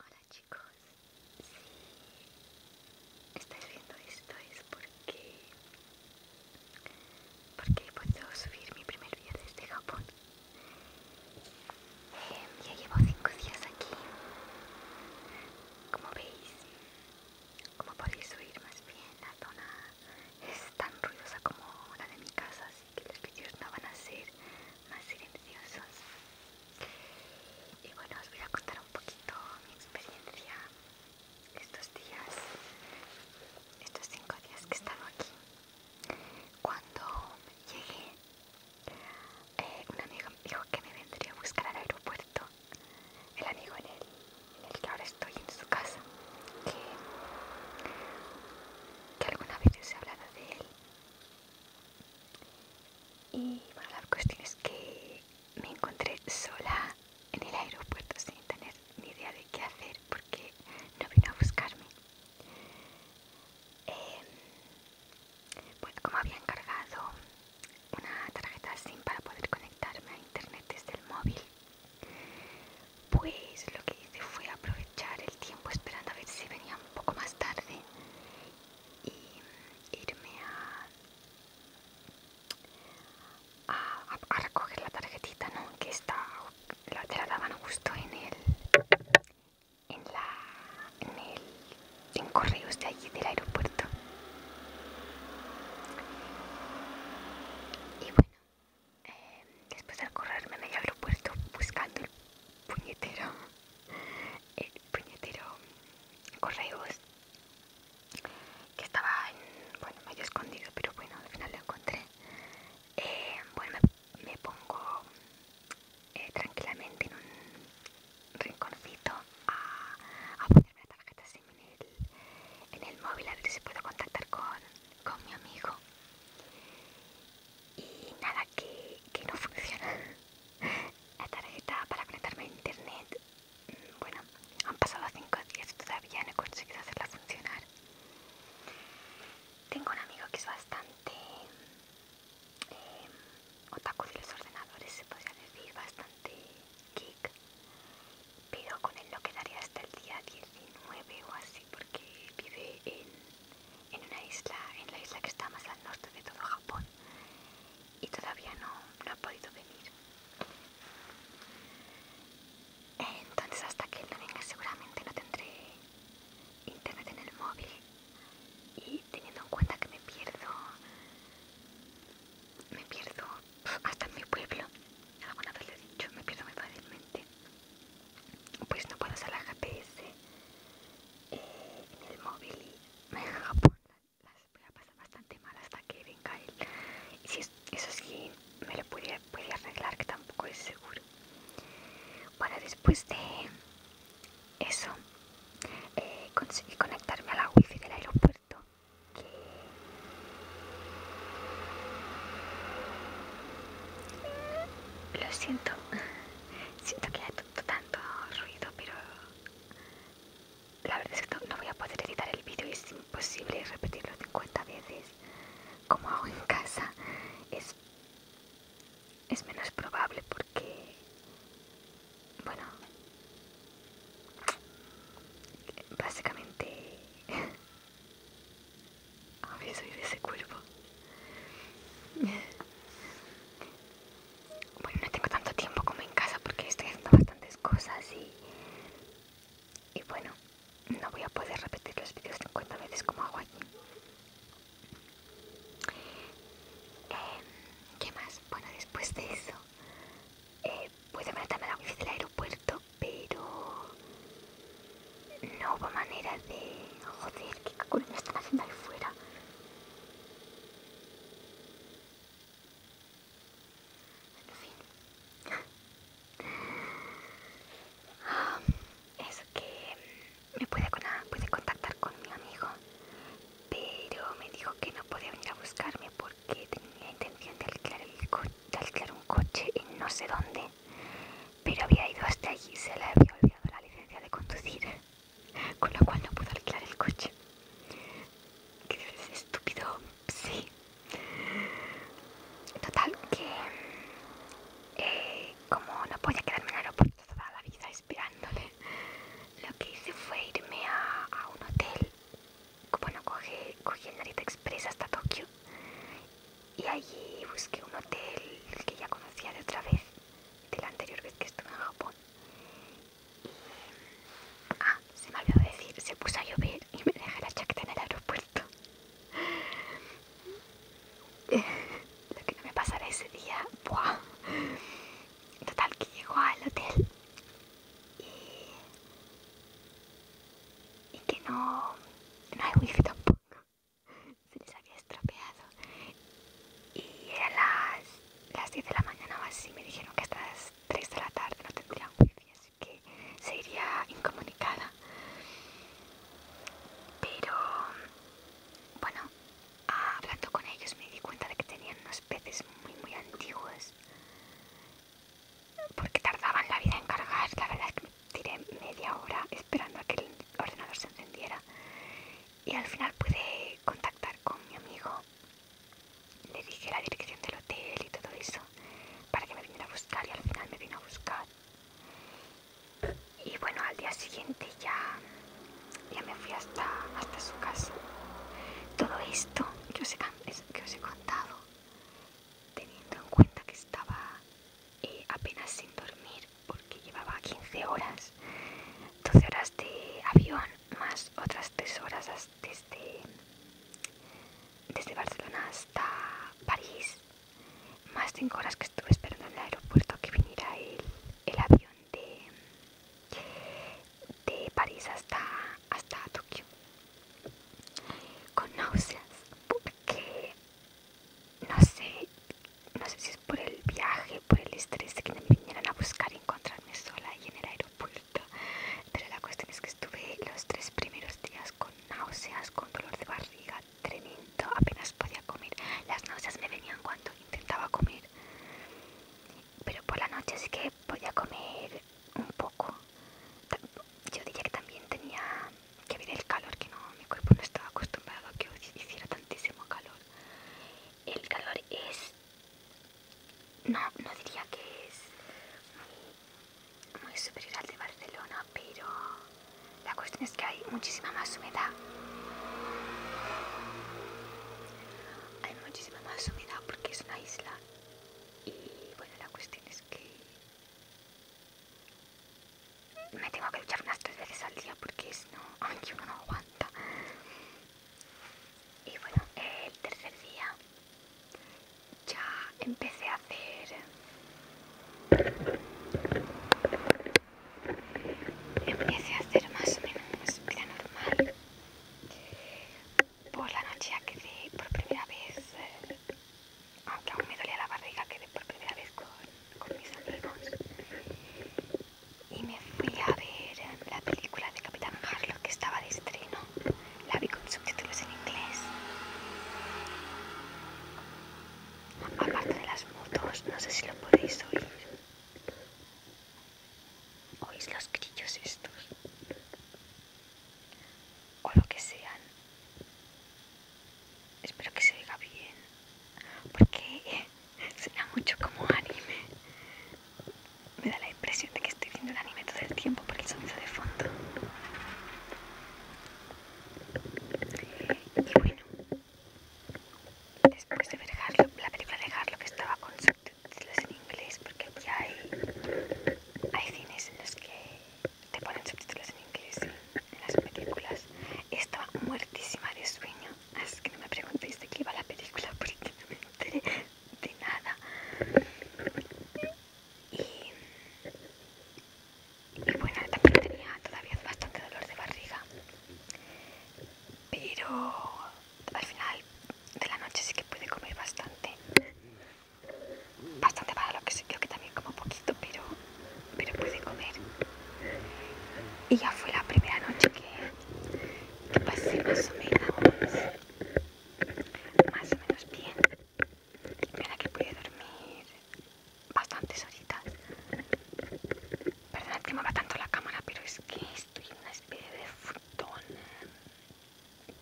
Hola chicos, si estáis viendo esto es porque, porque he podido subir mi primer día desde Japón. Em, ya llevo 5 días aquí, como veis, como podéis oír más bien la zona es tan ruidosa como la de mi casa, que los vídeos no van a ser más silenciosos y bueno os voy a contar un poquito mi experiencia estos días estos cinco días que he estado aquí cuando llegué eh, un amigo dijo que me vendría a buscar al aeropuerto el amigo en el, que ahora estoy en su casa que, alguna vez se he hablado de él y bueno, la cuestión es que me encontré sola en el aeropuerto sin tener ni idea de qué hacer porque no vino a buscarme. Em, como había encargado una tarjeta SIM para poder conectarme a internet desde el móvil, pues lo que hice fue aprovechar el tiempo esperando a ver si venía un poco más tarde y irme a, recoger la tarjetita, Que está, la, te la daban justo en el, en la, en correos de allí del aeropuerto. Y bueno, eh, después de correrme medio aeropuerto buscando el puñetero el puñetero correos que estaba en, bueno, medio escondido, pero bueno, al final lo encontré. Eh, bueno, me, pongo eh, tranquilamente en un rinconcito a, a ponerme la tarjeta SIM en el, en el móvil a ver si puedo contactar con, con mi amigo y nada que, no funciona la tarjeta para conectarme a internet mm, bueno han pasado 5 días y todavía no he conseguido hacerla funcionar tengo un amigo que es bastante em, otaku de los ordenadores se podría decir bastante geek pero con él no quedaría hasta el día 19 o así porque vive en en una isla, en la isla que está más al norte de todo Japón y todavía no, no ha podido venir. Entonces hasta que no venga seguramente no tendré internet en el móvil y teniendo en cuenta que me pierdo, me pierdo hasta en mi pueblo, alguna vez lo he dicho, me pierdo muy fácilmente, pues no puedo usar la GPS el móvil y me Japón las voy a pasar bastante mal hasta que venga él. Y si eso sí, me lo podía arreglar, que tampoco es seguro. Bueno, después de eso, eh, conseguí conectarme a la wifi del aeropuerto. Que lo siento siento que hay tanto ruido, pero la verdad es que no, voy a poder editar el vídeo, es imposible repetirlo 50 veces como hago en casa. Es, es menos probable porque, bueno, básicamente a soy de ese cuerpo. Bueno, no tengo tanto tiempo como en casa porque estoy haciendo bastantes cosas y, y bueno, no voy a poder repetir los vídeos 50 veces como hago aquí. Em, ¿Qué más? Bueno, después de eso, eh, puedo meterme a la oficina del aeropuerto, pero no hubo manera de... Joder, qué culo están haciendo ahí fuera. En fin. Ah, es que mm, me pude, contactar con mi amigo, pero me dijo que no podía venir a buscarme porque tenía intención de de alquilar un coche en no sé dónde pero había ido hasta allí y se le había olvidado la licencia de conducir, con lo cual no pudo alquilar el coche. ¿Qué estúpido? Sí. Total, que eh, como no podía quedarme en el aeropuerto toda la vida esperándole, lo que hice fue irme a, un hotel. Como no cogí el Narita Express hasta Tokio y allí busqué un hotel que ya conocía de otra vez, de la anterior vez que estuve en Japón. Y... Ah, se me olvidó decir, se puso a llover y me dejé la chaqueta en el aeropuerto. Lo que no me pasara ese día, Total, que llegó al hotel y... que no... no hay wifi tampoco se les había estropeado y a las, las 10 de la mañana o así me dijeron que hasta las 3 de la tarde no tendrían wifi así que se iría incomunicada pero bueno hablando con ellos me di cuenta de que tenían unos peces muy muy antiguos porque tardaban la vida en cargar la verdad es que me tiré media hora esperando a que el ordenador se encendiera y al final pude contactar con mi amigo. Le dije la dirección del hotel y todo eso para que me viniera a buscar y al final me vino a buscar. Y bueno, al día siguiente ya, ya me fui hasta, hasta su casa. Todo esto que os he contado, teniendo en cuenta que estaba eh, apenas sin dormir porque llevaba 15 horas, 12 horas de avión más otras 3 horas desde, desde Barcelona hasta París, más 5 horas que estuve esperando en el aeropuerto que viniera el, el avión de, de París hasta, hasta Tokio con náuseas porque no sé, no sé si es por el viaje, por el estrés de que me vinieron a buscar y encontrarme sola ahí en el aeropuerto, pero la cuestión es que estuve los tres primeros días con náuseas, con dolor de barriga tremendo, apenas podía comer, las náuseas me venían cuando intentaba comer, pero por la noche sí que podía comer un poco. Yo diría que también tenía que viene el calor, que no, mi cuerpo no estaba acostumbrado a que hiciera tantísimo calor. El calor es, no, no diría que es muy superior al de Barcelona, pero la cuestión es que hay muchísima más humedad. Hay muchísima más humedad porque es una isla y bueno, la cuestión es que me tengo que luchar unas tres veces al día porque si no, aunque uno no aguanta. Y bueno, el tercer día ya empecé a hacer... Empecé a hacer más o menos vida normal. Por la noche ya quedé por primera vez, eh, aunque aún me dolía la barriga, quedé por primera vez con con mis amigos y me fui a ver la película de Capitán Harlock que estaba de estreno. La vi con subtítulos en inglés. Aparte de las motos, no sé si lo podéis oír. ¿Oís los grillos estos? O lo que sean. Espero que se oiga bien. Porque suena mucho como anime. Me da la impresión de que estoy viendo el anime todo el tiempo por el sonido de fondo. Y bueno, después de ver la película de que estaba con subtítulos en inglés, porque aquí hay, cines en los que te ponen subtítulos en inglés las películas. Estaba muertísima de sueño, así que no me preguntéis de qué iba la película porque no me enteré de nada. Y, bueno, también tenía todavía bastante dolor de barriga, pero al final de la noche sí que pude comer bastante. Bastante para lo que sé, creo que también como poquito, pero pero pude comer. Y ya fue la primera noche que, pasé más o menos, más o menos bien, mira que pude dormir bastantes horitas. Perdonad que me va tanto la cámara, pero es que estoy en una especie de futón,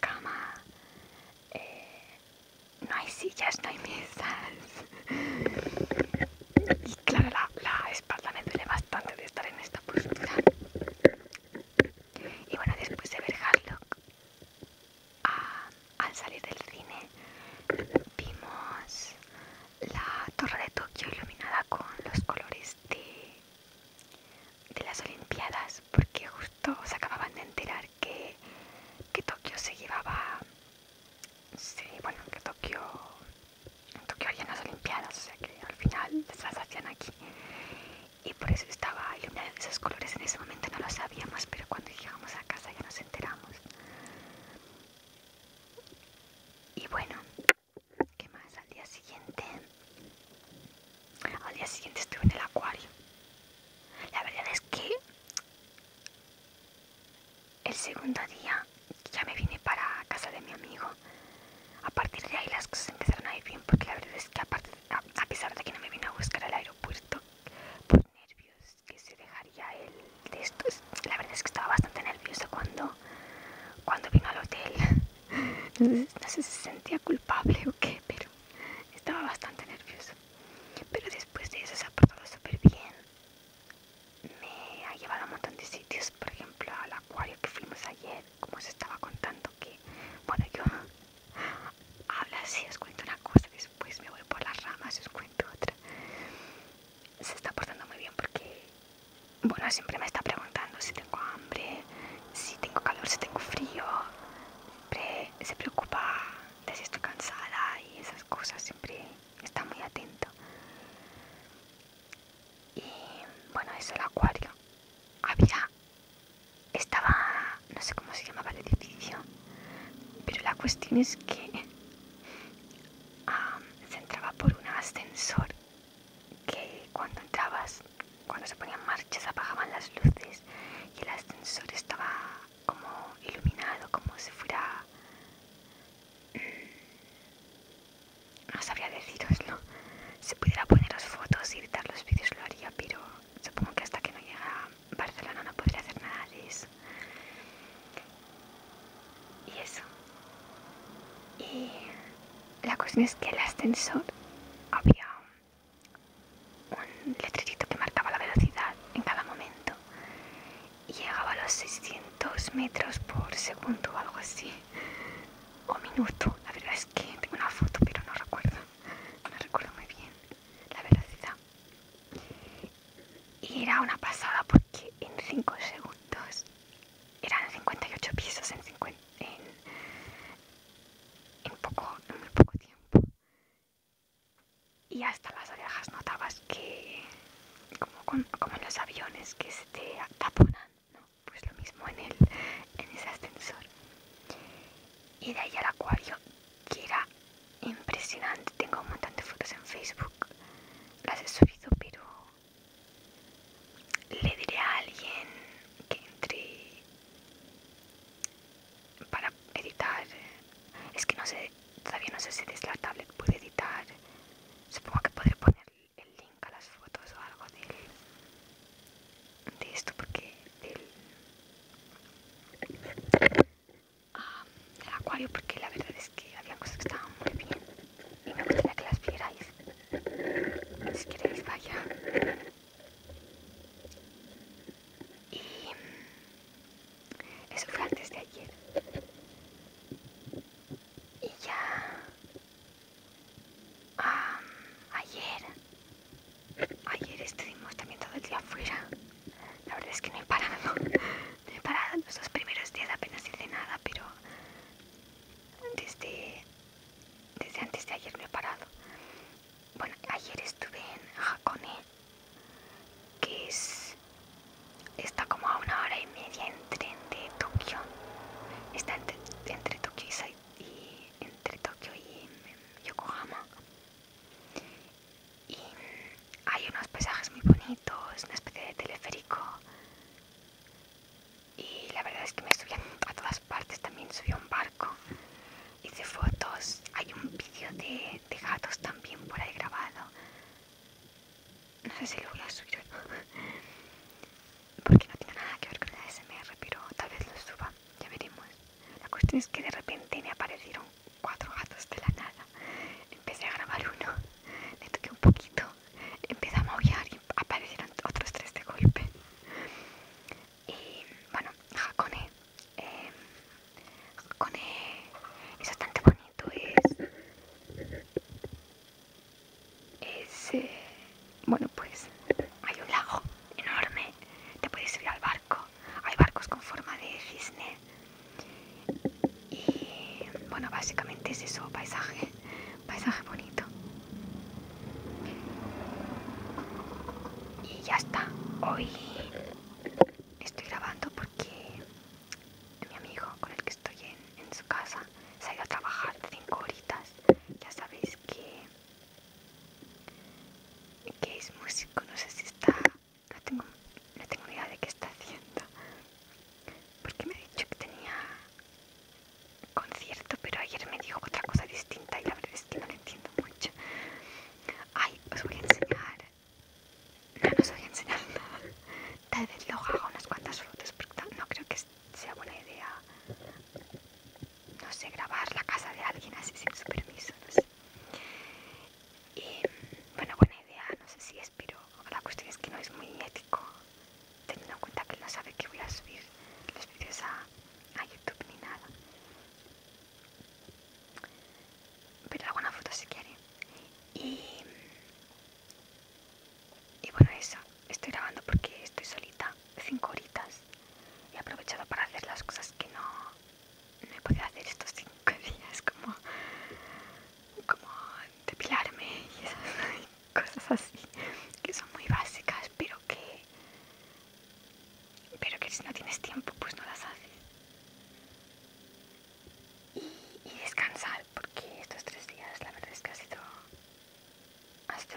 cama, eh, no hay sillas, no hay mesas. Y claro, la, espalda me duele bastante de estar en esta postura. Y bueno, después de ver Harlock, ah, al salir del cine, vimos la torre de Tokio iluminada con los colores de, de las Olimpiadas, porque justo se acababan de enterar que Tokio se llevaba Sí, bueno, que Tokio, en Tokio harían las Olimpiadas, o sea que al final las hacían aquí. Y por eso estaba iluminado de esos colores, en ese momento no lo sabíamos, pero cuando llegamos a casa ya nos enteramos. Y bueno, ¿qué más? Al día siguiente, al día siguiente estuve en el acuario. La verdad es que el segundo día ya me vine para casa de mi amigo. A partir de ahí las cosas empezaron a ir bien porque la verdad es que a, pesar de que no me vino a buscar al aeropuerto por nervios que se dejaría el de estos, la verdad es que estaba bastante nervioso cuando, cuando vino al hotel. No sé si se sentía culpable o qué, pero estaba bastante nervioso. Pero después de eso se ha portado súper bien me ha llevado a un montón de sitios, por ejemplo al acuario que fuimos ayer, como se estaba contando que, bueno yo hablo así, os cuento una cosa, después me voy por las ramas y os cuento otra. Se está portando muy bien porque, bueno, siempre me está preguntando si tengo hambre, si tengo calor, si tengo frío, siempre se preocupa de si estoy cansada y esas cosas, siempre está muy atento. Y bueno, es el acuario. Había, estaba, no sé cómo se llamaba el edificio, pero la cuestión es que se entraba por un ascensor que cuando entrabas, cuando se ponían marchas, apagaban las luces y el ascensor estaba como iluminado, como si fuera no sabría deciroslo. Si pudiera poner las fotos y editar los vídeos lo haría, pero supongo que hasta que no llega Barcelona no podría hacer nada de eso. Y eso. Y la cuestión es que el ascensor había un letrerito que marcaba la velocidad en cada momento llegaba a los 600 metros por segundo o algo así, o minuto. La verdad es que tengo una foto, pero no recuerdo, no recuerdo muy bien la velocidad. Y era una pasada porque en 5 segundos eran 58 pisos en, poco, en muy poco tiempo y hasta las orejas notabas que, como, en los aviones que se te pues lo mismo en, el, en ese ascensor. Y de ahí al acuario, que era impresionante. Tengo un montón de fotos en Facebook, las he subido, pero le diré a alguien que entre para editar. Es que no sé todavía no sé si es la tablet pude editar supongo que podré poner el link a las fotos o algo de esto porque del, ah, del acuario porque la verdad es que había cosas que estaban muy bien y me gustaría que las vierais si queréis vaya y eso fue antes de ayer. Y ya... ayer... Ayer estuvimos también todo el día afuera. La verdad es que no he parado. No he parado los primeros días, apenas hice nada, pero... Desde... Desde antes de ayer no he parado. Bueno, ayer estuve en Hakone que está como a una hora y media entre de Tokio. Está entre, Tokio y, entre y mm, Yokohama. Y hay unos paisajes muy bonitos, una especie de teleférico. Y la verdad es que me subí a todas partes, también subí a un barco, hice fotos, hay un vídeo de, de gatos también por ahí grabado. No sé si lo voy a subir Porque no tiene nada que ver con el ASMR pero tal vez lo suba. Ya veremos. La cuestión es que de repente me aparecieron cuatro gatos de la nada. Empecé a grabar uno, le toqué un poquito, empecé a maullar y aparecieron otros tres de golpe. Y bueno, jacone, Eh, es bastante bonito es, bueno pues hay un lago enorme, te puedes subir al barco, hay barcos con forma de cisne y bueno básicamente es eso, paisaje, paisaje bonito. Y ya está, hoy estoy grabando porque mi amigo con el que estoy en, su casa se ha ido a trabajar cinco horitas. Ya sabéis que, que es músico, no sé si está... No tengo, ni idea de qué está haciendo. Porque me ha dicho que tenía concierto, pero ayer me dijo otra cosa distinta y la verdad es que no entiendo mucho. Ay, os voy a enseñar no nos voy a enseñar Tal vez luego haga unas cuantas fotos, porque no creo que sea buena idea, no sé, grabar la casa de alguien así sin su permiso, no sé. Y bueno, buena idea, no sé si es, pero la cuestión es que no es muy ético, teniendo en cuenta que él no sabe que voy a subir los vídeos a YouTube ni nada. Pero alguna foto si quiere. Y, y bueno, eso. Estoy grabando porque estoy solita, Cinco horitas. y aprovechado para hacer las cosas que no, no he podido hacer estos cinco días, como, como depilarme y esas cosas así, que son muy básicas, pero que, pero que si no tienes tiempo, pues no las haces y, descansar porque estos tres días la verdad es que ha sido,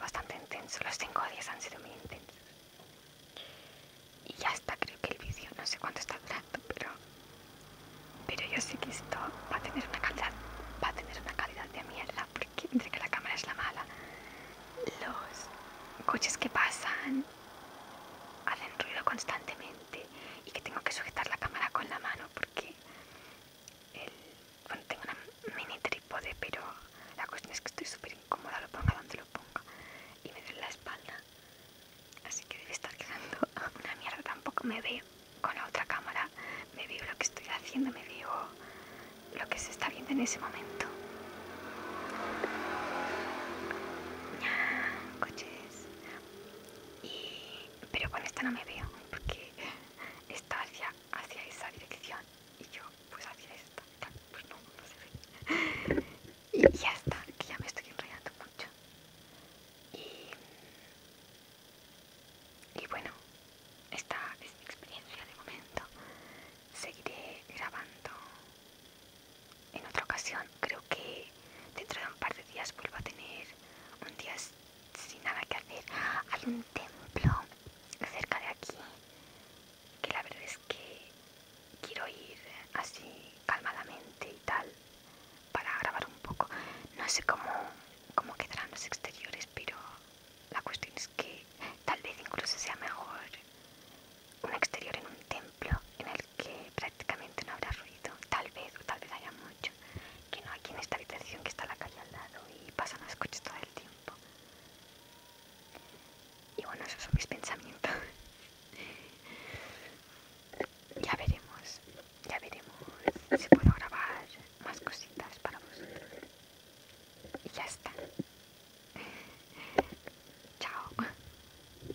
bastante intenso, los cinco días han sido muy intensos. Y ya está, creo que el vídeo no sé cuánto está durando, pero, pero yo sé que esto va a tener una calidad, va a tener una calidad de mierda porque entre que la cámara es la mala, los coches que pasan hacen ruido constantemente y que tengo que sujetar la cámara con la mano porque tengo una mini trípode, pero la cuestión es que estoy súper incómoda, lo pongo donde lo pongo y me duele la espalda. Así que debe estar quedando una mierda, tampoco me veo con la otra cámara, me veo lo que estoy haciendo, me veo lo que se está viendo en ese momento. Coches y, pero con esta no me veo porque está hacia, esa dirección y yo pues hacia esta, pues no, no se ve y ya está, que ya me estoy enrollando mucho y bueno, esta es mi experiencia de momento seguiré grabando en otra ocasión. Creo que dentro de un par de días vuelvo a tener un día sin nada que hacer. Hay un templo cerca de aquí que la verdad es que quiero ir así calmadamente y tal para grabar un poco. No sé cómo, cómo quedarán los exteriores, pero la cuestión es que tal vez incluso sea mejor un exterior en un templo en el que prácticamente no habrá ruido, tal vez, o tal vez haya mucho, que no aquí en esta habitación que está la calle al lado y pasan los coches todo el tiempo. Y bueno, esos son mis pensamientos. ya veremos, ya veremos si puedo grabar más cositas para vosotros. Y ya está. Chao.